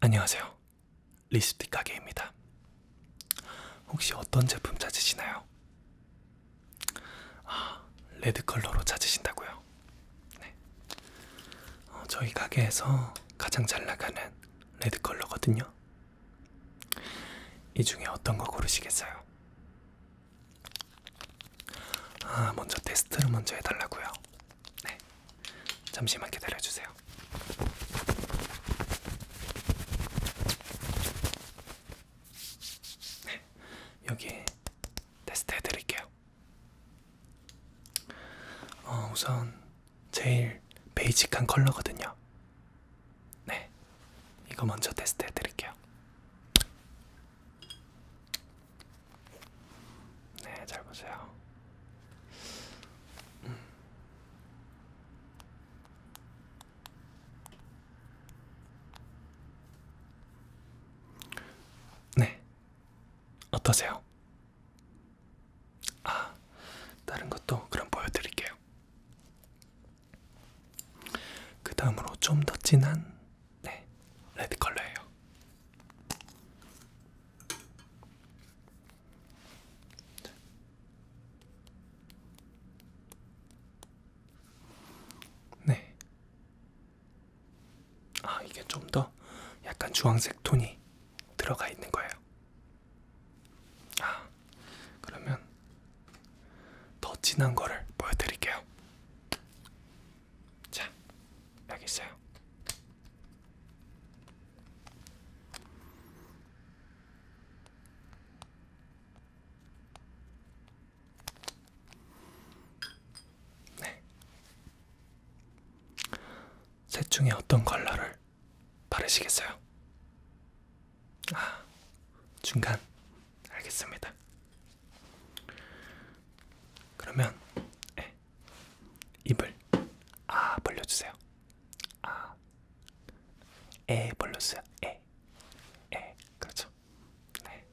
안녕하세요. 리스틱 가게입니다. 혹시 어떤 제품 찾으시나요? 아, 레드 컬러로 찾으신다고요? 네. 어, 저희 가게에서 가장 잘 나가는 레드 컬러거든요. 이 중에 어떤 거 고르시겠어요? 아, 먼저 테스트를 먼저 해달라고요. 네, 잠시만 기다려주세요. 네, 여기 테스트 해드릴게요. 어, 우선 제일 베이직한 컬러거든요. 네, 이거 먼저 테스트 해드릴게요. 네, 잘 보세요. 음. 네, 어떠세요? 아, 다른 것도 그럼 보여드릴게요. 그 다음으로 좀 더 진한 네, 레드 컬러예요. 네. 아, 이게 좀 더 약간 주황색 톤이 들어가 있는 거예요. 아, 그러면 더 진한 거를 보여드릴게요. 자, 여기 있어요. 네. 셋 중에 어떤 컬러를 바르시겠어요? 아, 중간 알겠습니다. 그러면 네. 입을 아 벌려주세요. 아, 에 벌려주세요. 에, 에 그렇죠. 네.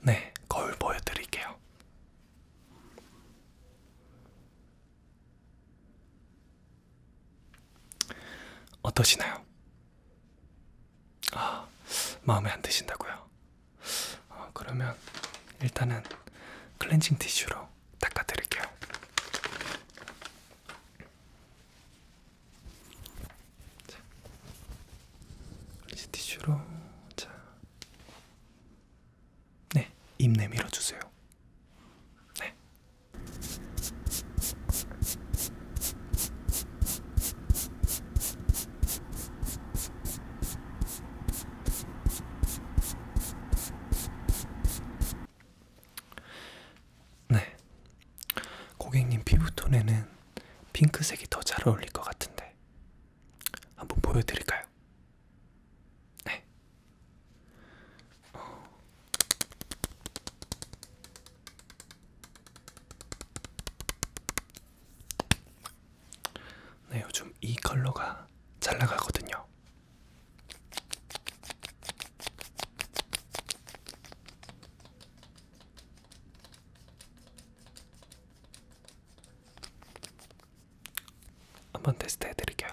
네, 거울 보여드릴게요. 어떠시나요? 아, 마음에 안 드신다고요? 아, 그러면 일단은 클렌징 티슈로 닦아드릴게요. 자, 이제 티슈로 자, 네, 입 내밀어 주세요. 네. 네. 고객님 피부톤에는 핑크색이 더 잘 어울릴 것 같은데. 한번 보여드릴까요? 네. 어. 네, 요즘 이 컬러가 잘 나가거든요. 한번 테스트 해드릴게요.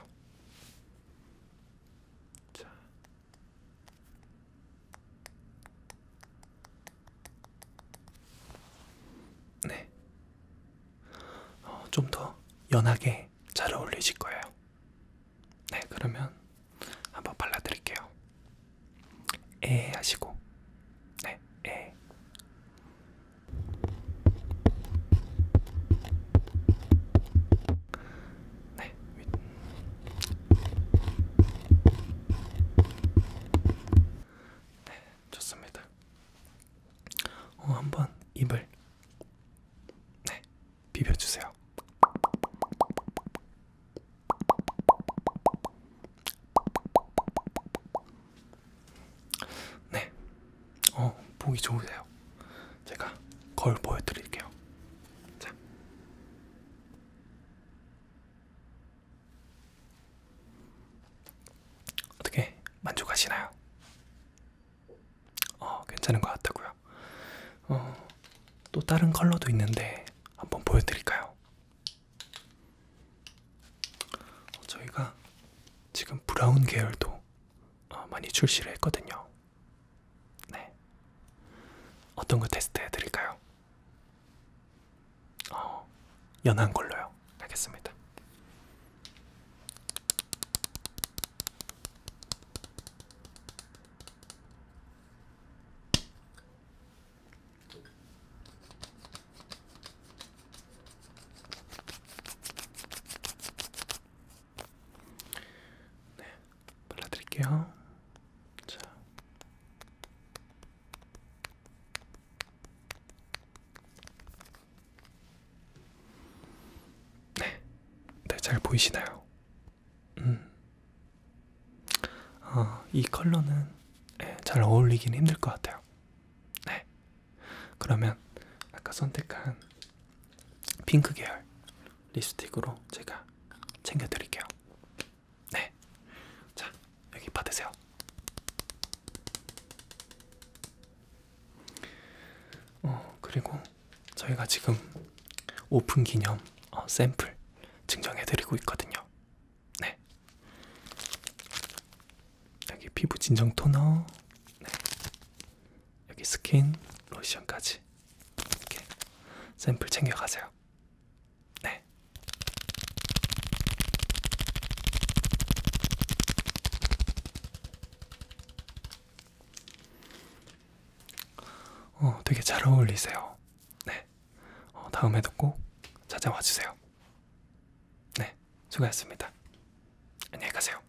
자. 네. 어, 좀더 연하게 잘 어울리실 거예요. 네, 그러면 한번 발라드릴게요. 에 하시고, 네, 에. 네. 네, 좋습니다. 어, 한번 입을 네, 비벼주세요. 네, 어 보기 좋으세요. 제가 걸 보여드릴게요. 자, 어떻게 만족하시나요? 어 괜찮은 것 같다고요. 어또 다른 컬러도 있는데 한번 보여드릴까요? 어, 저희가 지금 브라운 계열도 어, 많이 출시를 했거든요. 네. 어떤 거 테스트 해드릴까요? 어, 연한 걸로요. 알겠습니다. 네, 발라드릴게요. 자. 네, 네, 잘 보이시나요? 음. 어, 이 컬러는 네, 잘 어울리긴 힘들 것 같아요. 네. 그러면 아까 선택한 핑크 계열 립스틱으로 제가 챙겨드릴게요. 네. 자, 여기 받으세요. 어, 그리고 저희가 지금 오픈 기념 어, 샘플 증정해드리고 있거든요. 네. 여기 피부 진정 토너, 네. 여기 스킨, 로션까지 이렇게 샘플 챙겨가세요. 네. 어, 되게 잘 어울리세요. 네. 어, 다음에도 꼭 찾아와 주세요. 네. 수고했습니다. 안녕히 가세요.